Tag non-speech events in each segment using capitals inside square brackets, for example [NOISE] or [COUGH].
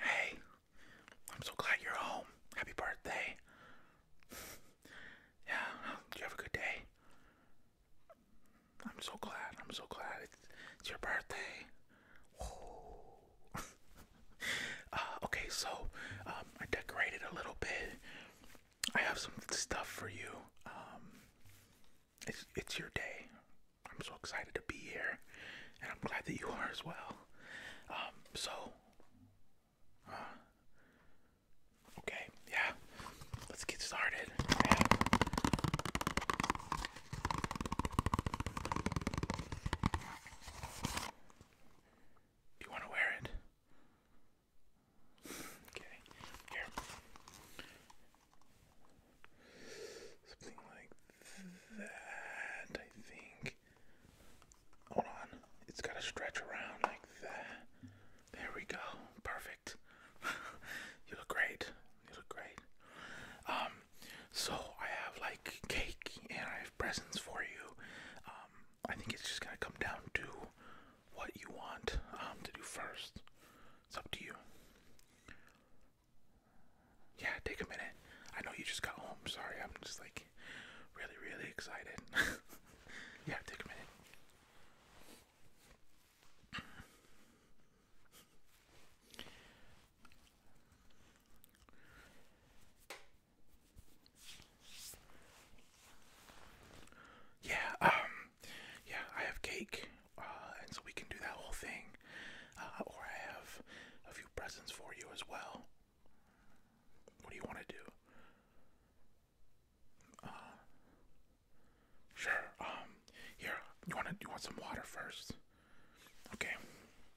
Hey, I'm so glad you're home. Happy birthday. [SIGHS] yeah, you have a good day? I'm so glad. I'm so glad. It's, it's your birthday. [LAUGHS] Uh, okay, so um, I decorated a little bit. I have some stuff for you. Um, it's it's your day. I'm so excited to be here, and I'm glad that you are as well. Um, so, uh, okay, yeah, let's get started you want to wear it? Okay, here. Something like that, I think. Hold on, it's got to stretch around like that. There we go, perfect. [LAUGHS] you look great. You look great. Um, so I have like cake and I have presents for you. Um, I think it's just gonna come down to what you want um, to do first. It's up to you. Yeah, take a minute. I know you just got home. Sorry, I'm just like really, really excited. [LAUGHS] yeah, take a minute. Yeah, um, yeah, I have cake, uh, and so we can do that whole thing. Uh, or I have a few presents for you as well. What do you want to do? Uh, sure. Um, here, you want to, you want some water first? Okay.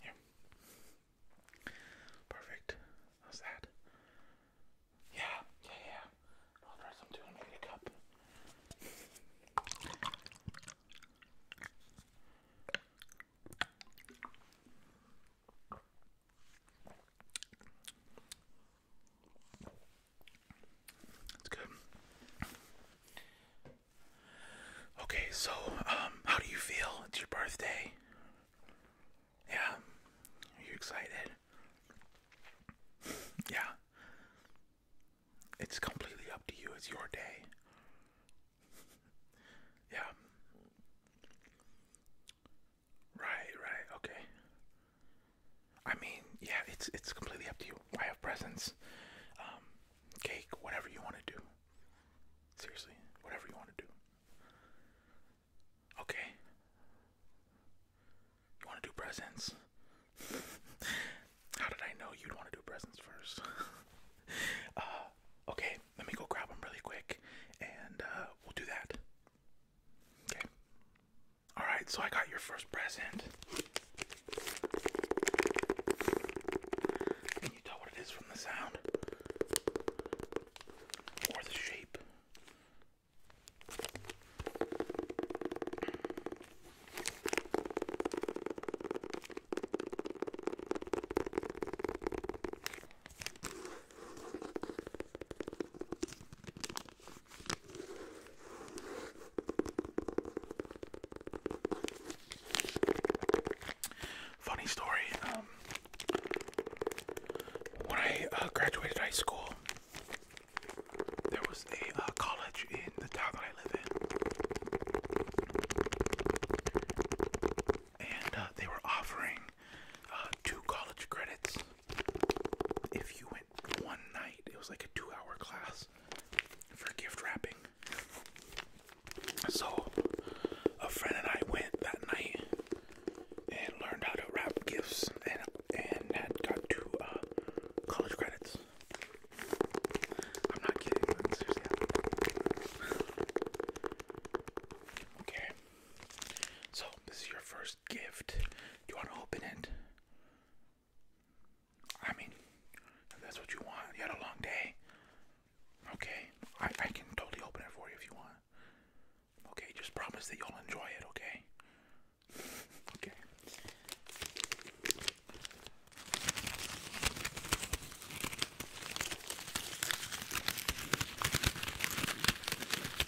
Here. Perfect. How's that? Yeah, yeah, yeah. I'll try some too a cup. That's good. Okay, so um, how do you feel? It's your birthday. Yeah. Are you excited? yeah. It's completely up to you. It's your day. yeah. Right, right, okay. I mean, yeah, it's it's completely up to you. I have presents, um, cake, whatever you want to do. Seriously, whatever you want to do. Okay. You want to do presents? [LAUGHS] How did I know you'd want to do presents first? [LAUGHS] Uh, okay, let me go grab them really quick and uh, we'll do that. Okay. All right, so I got your first present. Can you tell what it is from the sound or the shape? Funny story. Um, when I uh, graduated high school, there was a uh, college in the town that I live in, and uh, they were offering two college credits if you went one night, it was like a two hour class for gift wrapping. So, a friend and I went that night and learned how to wrap gifts and, and got two uh, college credits. I'm not kidding, [LAUGHS] okay. So, this is your first gift. Do you want to open it? I mean, if that's what you want. You had a long day. Okay, I, I can totally open it for you if you want. Okay, just promise that you'll enjoy it, okay? [LAUGHS] okay.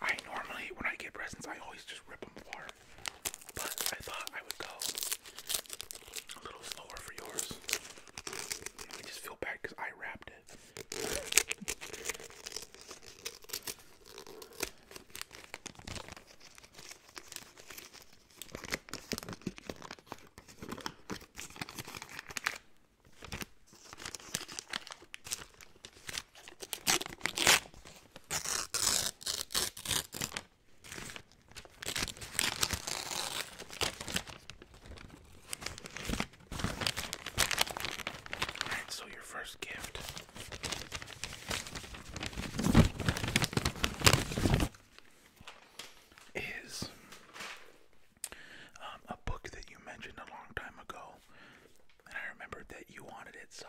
I normally, when I get presents, I always just rip them apart. But I thought I would go a little slower for yours. I just feel bad because I wrapped it so your first gift. Is um, a book that you mentioned a long time ago I remembered that you wanted it, so.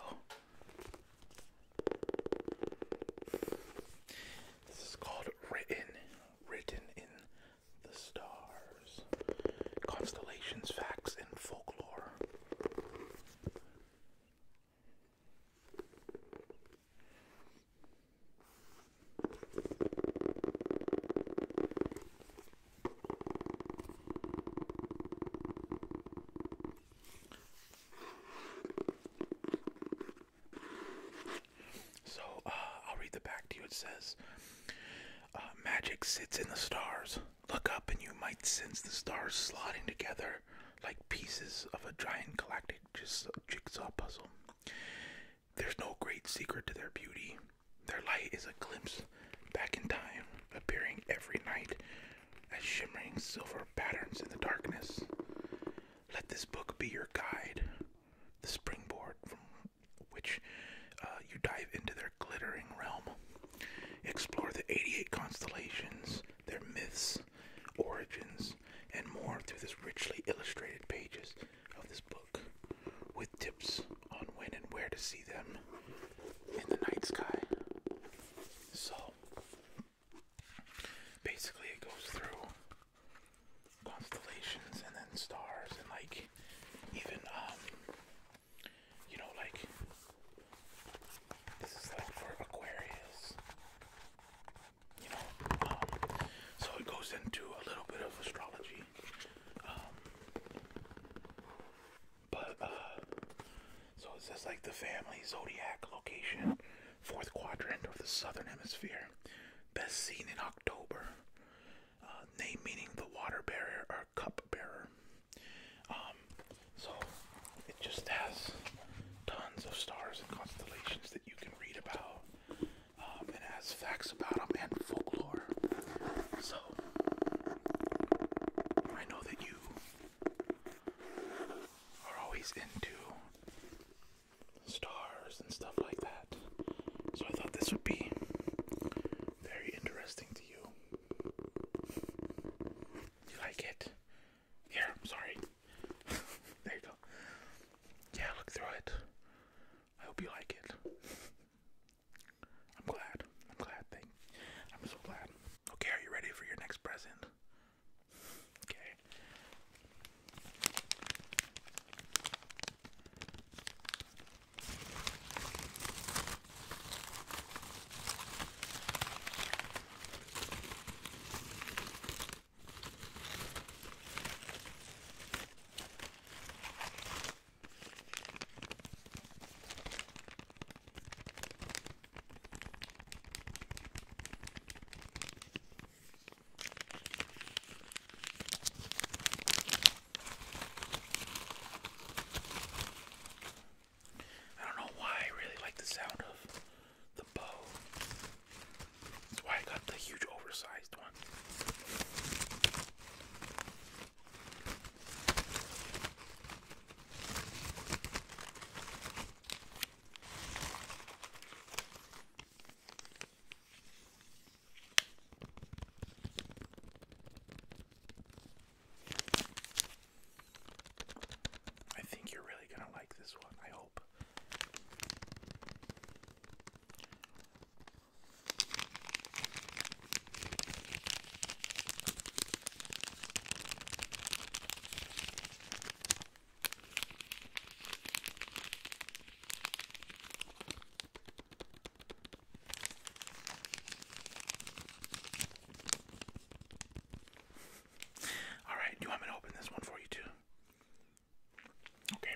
This is called Written, Written in the Stars Constellations, Facts, and Folklore. So uh, I'll read the back to you. It says, uh, Magic sits in the stars. Look up, and you might sense the stars slotting together like pieces of a giant galactic jigsaw puzzle. There's no great secret to their beauty. Their light is a glimpse back in time, appearing every night as shimmering silver patterns in the darkness. Let this book be your guide, the springboard from which uh, you dive into their glittering realm. Explore the 88 constellations, their myths, origins, and more through this richly illustrated pages of this book, with tips on when and where to see them in the night sky. So basically, it goes through constellations and then stars and like even um you know like this is like for Aquarius. You know, um, so it goes into a little bit of astrology. Um, but, uh, so it says like the family zodiac location, fourth quadrant of the southern hemisphere, best seen in October. Uh, name meaning the water bearer or cup bearer. Um, so it just has tons of stars and constellations that you can read about. Um, it has facts about them and folklore. So I know that you are always into stars and stuff like that. So I thought this would be very interesting to you. You like it? Here, I'm sorry. [LAUGHS] there you go. Yeah, look through it. I hope you like it. I'm glad. I'm glad. I'm so glad. Okay, are you ready for your next present? Okay. I don't know why I really like the sound of the bow. That's why I got the huge oversized one. I think you're really going to like this one, I hope. All right, do you want me to open this one for you too? Okay.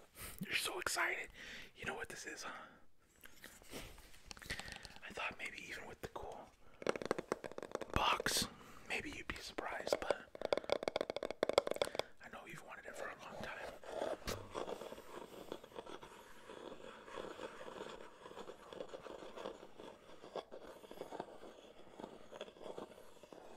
You're so excited. You know what this is, huh? I thought maybe even with the cool box, maybe you'd be surprised, but I know you've wanted it for a long time.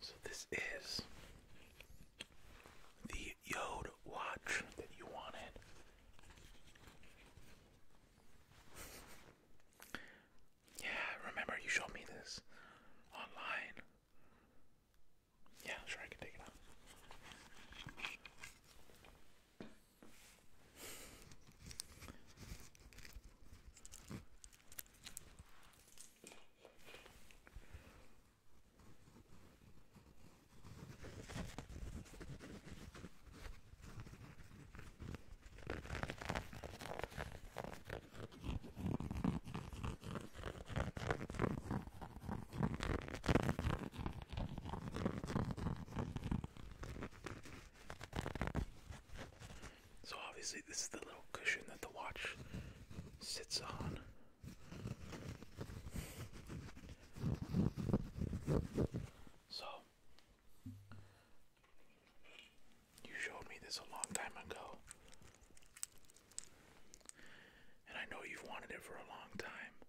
So this is the Yode watch that you wanted. Yeah, remember you showed me this online. Yeah, sure, I can take it out. So obviously this is the little cushion that the watch sits on. So you showed me this a long time ago. And I know you've wanted it for a long time.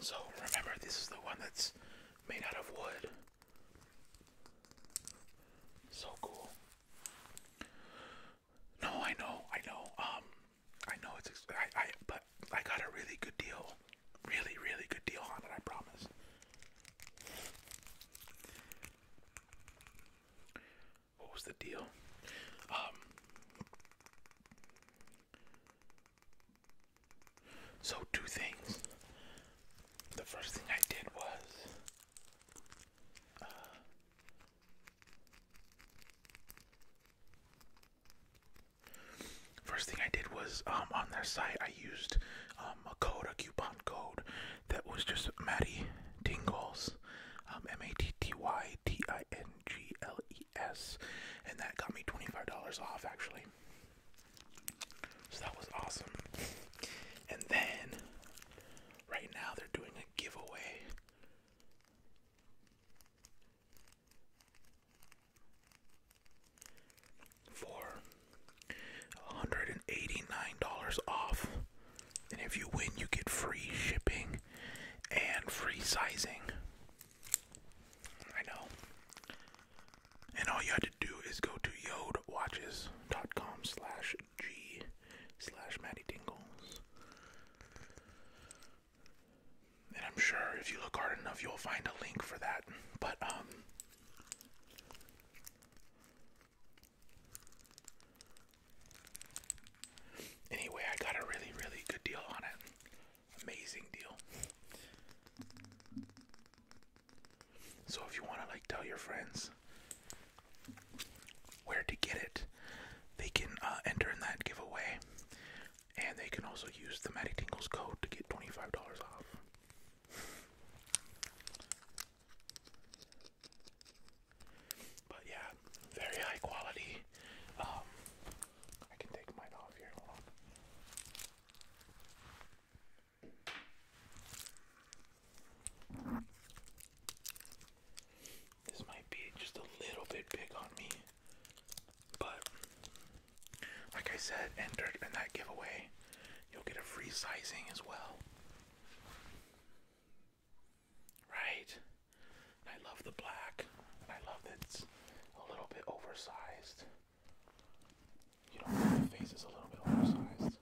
So remember, this is the one that's made out of wood. So cool. No, I know, I know. Um, I know it's. I, I, but I got a really good deal, really, really good deal on I promise. What was the deal? Um, so, two things. The first thing I did was. Uh, first thing I did was um, on their site I used um, a code, a coupon code that was just Matty Tingles, um, M A T T Y T I N G L E S, and that got me $25 off actually. So that was awesome. And then right now they're doing a giveaway. For $189 off. And if you win, you get free shipping and free sizing. I know. And all you have to do is go to yodewatchescom slash g slash Matty Dingles. And I'm sure if you look hard enough you'll find a link for that. But um Anyway, I got a really, really good deal on it amazing deal. So if you want to like tell your friends where to get it, they can uh, enter in that giveaway, and they can also use the Matty Tingles code to get twenty five dollars off. But yeah, very high quality. Um, I can take mine off here. Hold This might be just a little bit big on me, but like I said, enter in that giveaway, you'll get a free sizing as well. Right? I love the black. And I love that it's a little bit oversized. You face is a little bit oversized.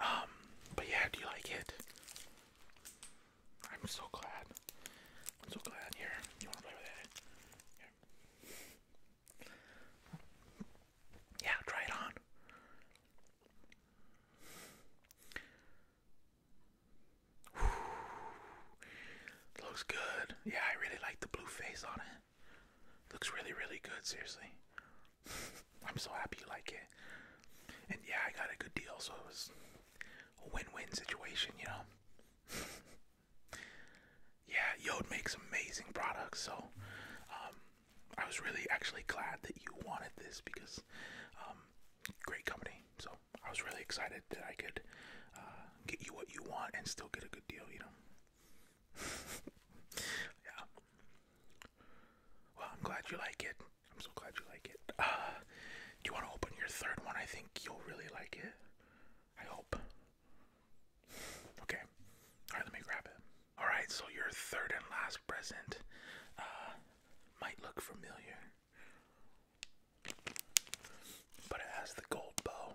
Um, but yeah, do you like it? I'm so glad. I'm so glad. Here, you wanna play with it? Yeah, try it on. [SIGHS] Looks good. Yeah, I really like the blue face on it. Looks really, really good, seriously. [LAUGHS] I'm so happy you like it. And yeah, I got a good deal, so it was a win-win situation, you know. [LAUGHS] yeah, Yod makes amazing products, so um, I was really actually glad that you wanted this because um, great company. So I was really excited that I could uh, get you what you want and still get a good deal. You know. [LAUGHS] yeah. Well, I'm glad you like it. I'm so glad you like it. Uh, do you want to open your third one? I think you'll really like it. I hope. Okay. Alright, let me grab it. Alright, so your third and last present uh, might look familiar. But it has the gold bow.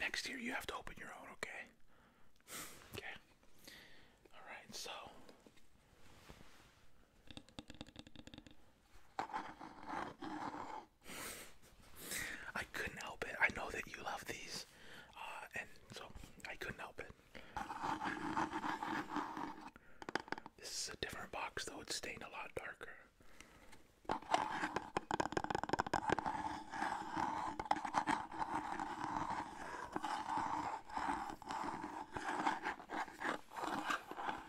Next year you have to open your own, okay? Okay. All right, so I couldn't help it. I know that you love these, uh, and so I couldn't help it. This is a different box, though, it's stained a lot darker.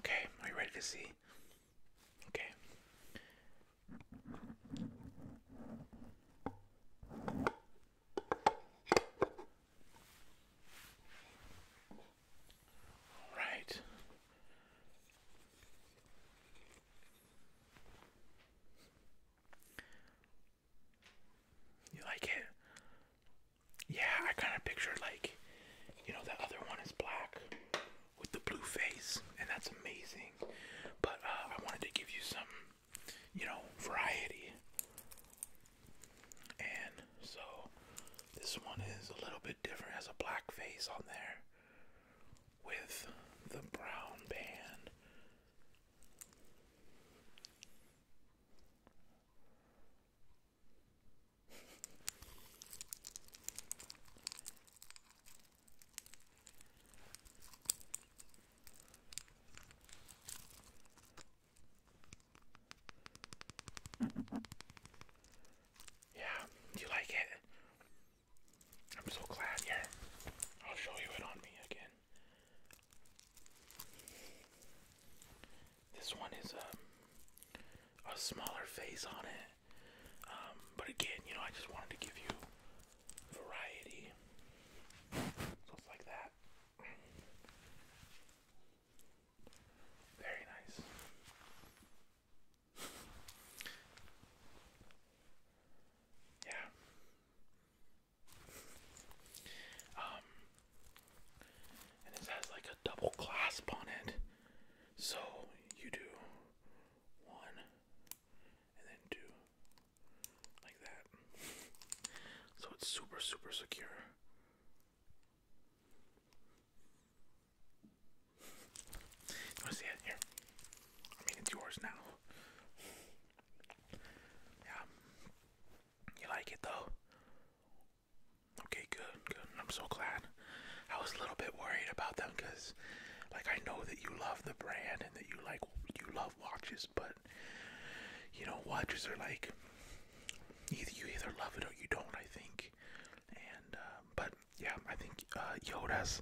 Okay, are you ready to see? Okay. All right. You like it? Yeah, I kind of pictured like, you know, that other one is black with the blue face, and that's amazing. But uh, I wanted to give you some, you know, variety. And so this one is a little bit different, has a black face on there with the brown band. Yeah, you like it? I'm so glad. Here, I'll show you it on me again. This one is um, a smaller face on it. Um, but again, you know, I just wanted to give you variety. So like that. Very nice. Yeah. Um, and it has like a double clasp on it. So you do one and then two like that. So it's super, super secure. want to see it? Here. I mean, it's yours now. Yeah. You like it though? Okay, good, good. I'm so glad. I was a little bit worried about them because, like, I know that you love the brand and that you like you love watches, but you know, watches are like either you either love it or you don't. I think, and uh, but yeah, I think uh, Yoda's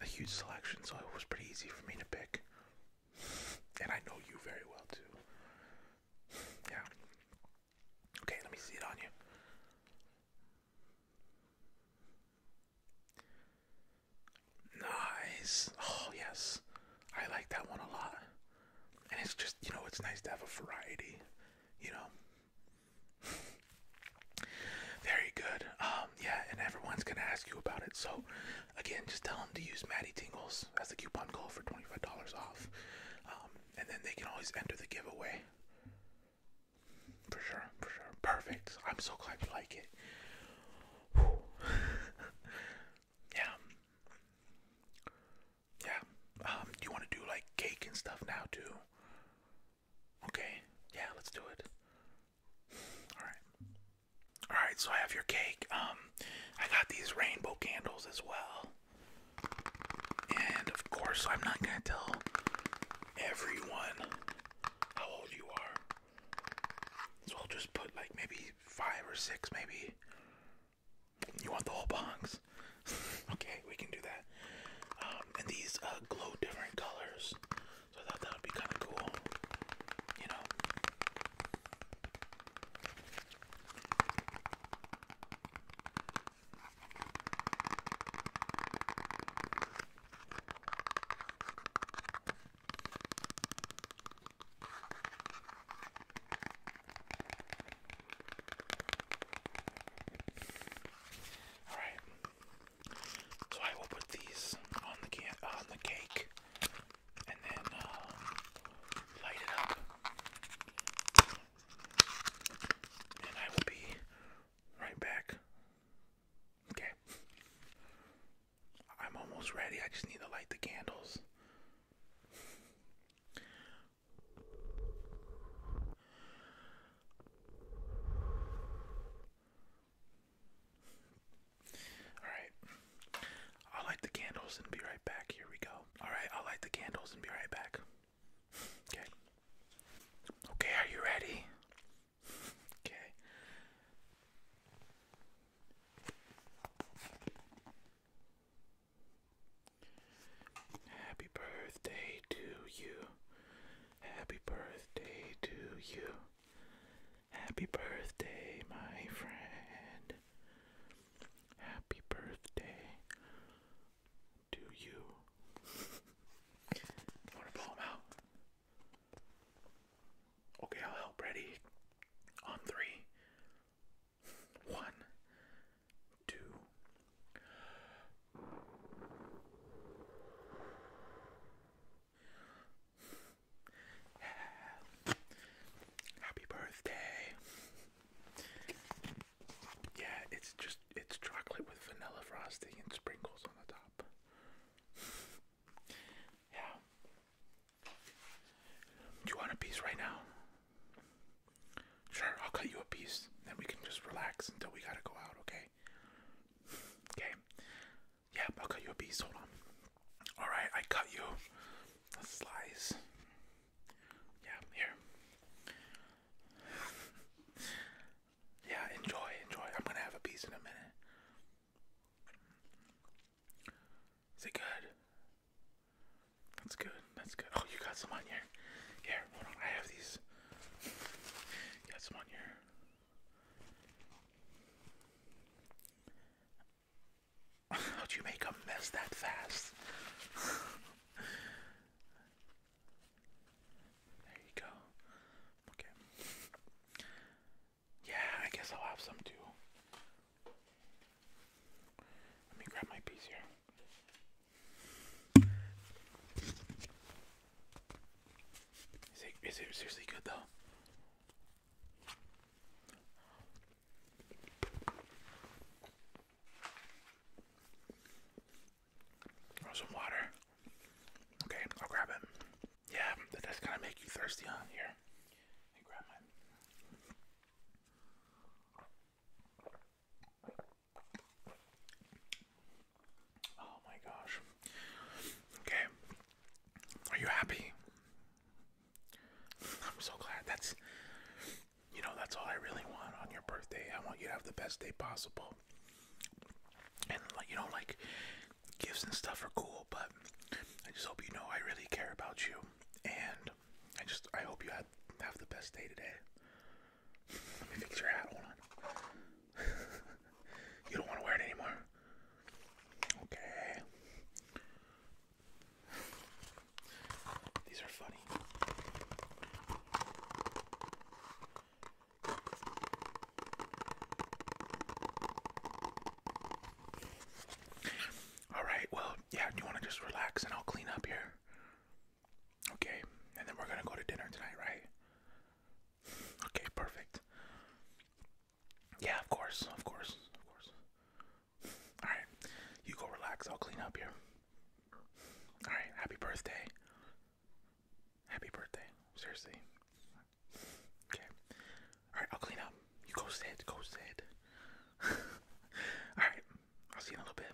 a huge selection, so it was pretty easy for me to pick. And I know you very well too. Yeah. Okay, let me see it on you. Nice. Oh, yes. I like that one a lot. And it's just, you know, it's nice to have a variety, you know. Very good. Um, yeah, and everyone's gonna ask you about it, so Again, just tell them to use Maddie Tingles as the coupon code for twenty-five dollars off, um, and then they can always enter the giveaway. For sure, for sure, perfect. I'm so glad you like it. [LAUGHS] yeah, yeah. Um, do you want to do like cake and stuff now too? Okay, yeah, let's do it. All right. All right, so I have your cake. Um, I got these rainbow candles as well, and of course, I'm not gonna tell everyone how old you are. So I'll just put like maybe five or six, maybe. You want the whole box? [LAUGHS] okay, we can do that. Um, and these uh, glow different colors, so I thought that would be kind of cool. You know, all right. So I will put these on the can on the cake and then uh, light it up. And I will be right back. Okay. I'm almost ready. I just need to light the candles. Alright. I'll light the candles and be right back. Here we go. Alright, I'll light the candles and be right back. [LAUGHS] Okay. Okay, are you ready? [LAUGHS] Okay. Happy birthday to you. Happy birthday to you. Happy birthday, my friend. Happy birthday to you. [LAUGHS] Want to pull him out? Okay, I'll help. Ready? On three. One, two. Happy birthday. Yeah, it's just it's chocolate with vanilla frosting and sprinkles on the top. Yeah. Do you want a piece right now? Sure, I'll cut you a piece. Then we can just relax until we gotta go out, okay? Okay. Yeah, I'll cut you a piece. Hold on. All right, I cut you a slice. Yeah, here. yeah, enjoy, enjoy. I'm gonna have a piece in a minute. Is it good? That's good. That's good. Oh, you got some on here. Here, hold on. I have these. got some on here. How'd you make a mess that fast? there you go. Okay. Yeah, I guess I'll have some too. Let me grab my piece here. Is it, is it seriously good though? Oh, some water. Okay, I'll grab it. Yeah, that does kind of make you thirsty, huh? Here, I grab mine. Oh my gosh. Okay, are you happy? I'm so glad. That's, you know, that's all I really want on your birthday. I want you to have the best day possible. And, like, you know, like, gifts and stuff are cool, but I just hope you know I really care about you. And I just, I hope you have, have the best day today. Let me fix your hat. Hold on. [LAUGHS] you don't want to wear it anymore. Okay. These are funny. All right. Well, yeah, you want to just relax and I'll clean up here? Okay. And then we're going to go to dinner tonight, right? Okay, perfect. Yeah, of course, of course, of course. All right, you go relax. I'll clean up here. All right, happy birthday. Happy birthday. Seriously. Okay. All right, I'll clean up. You go sit. Go sit. [LAUGHS] All right, I'll see you in a little bit.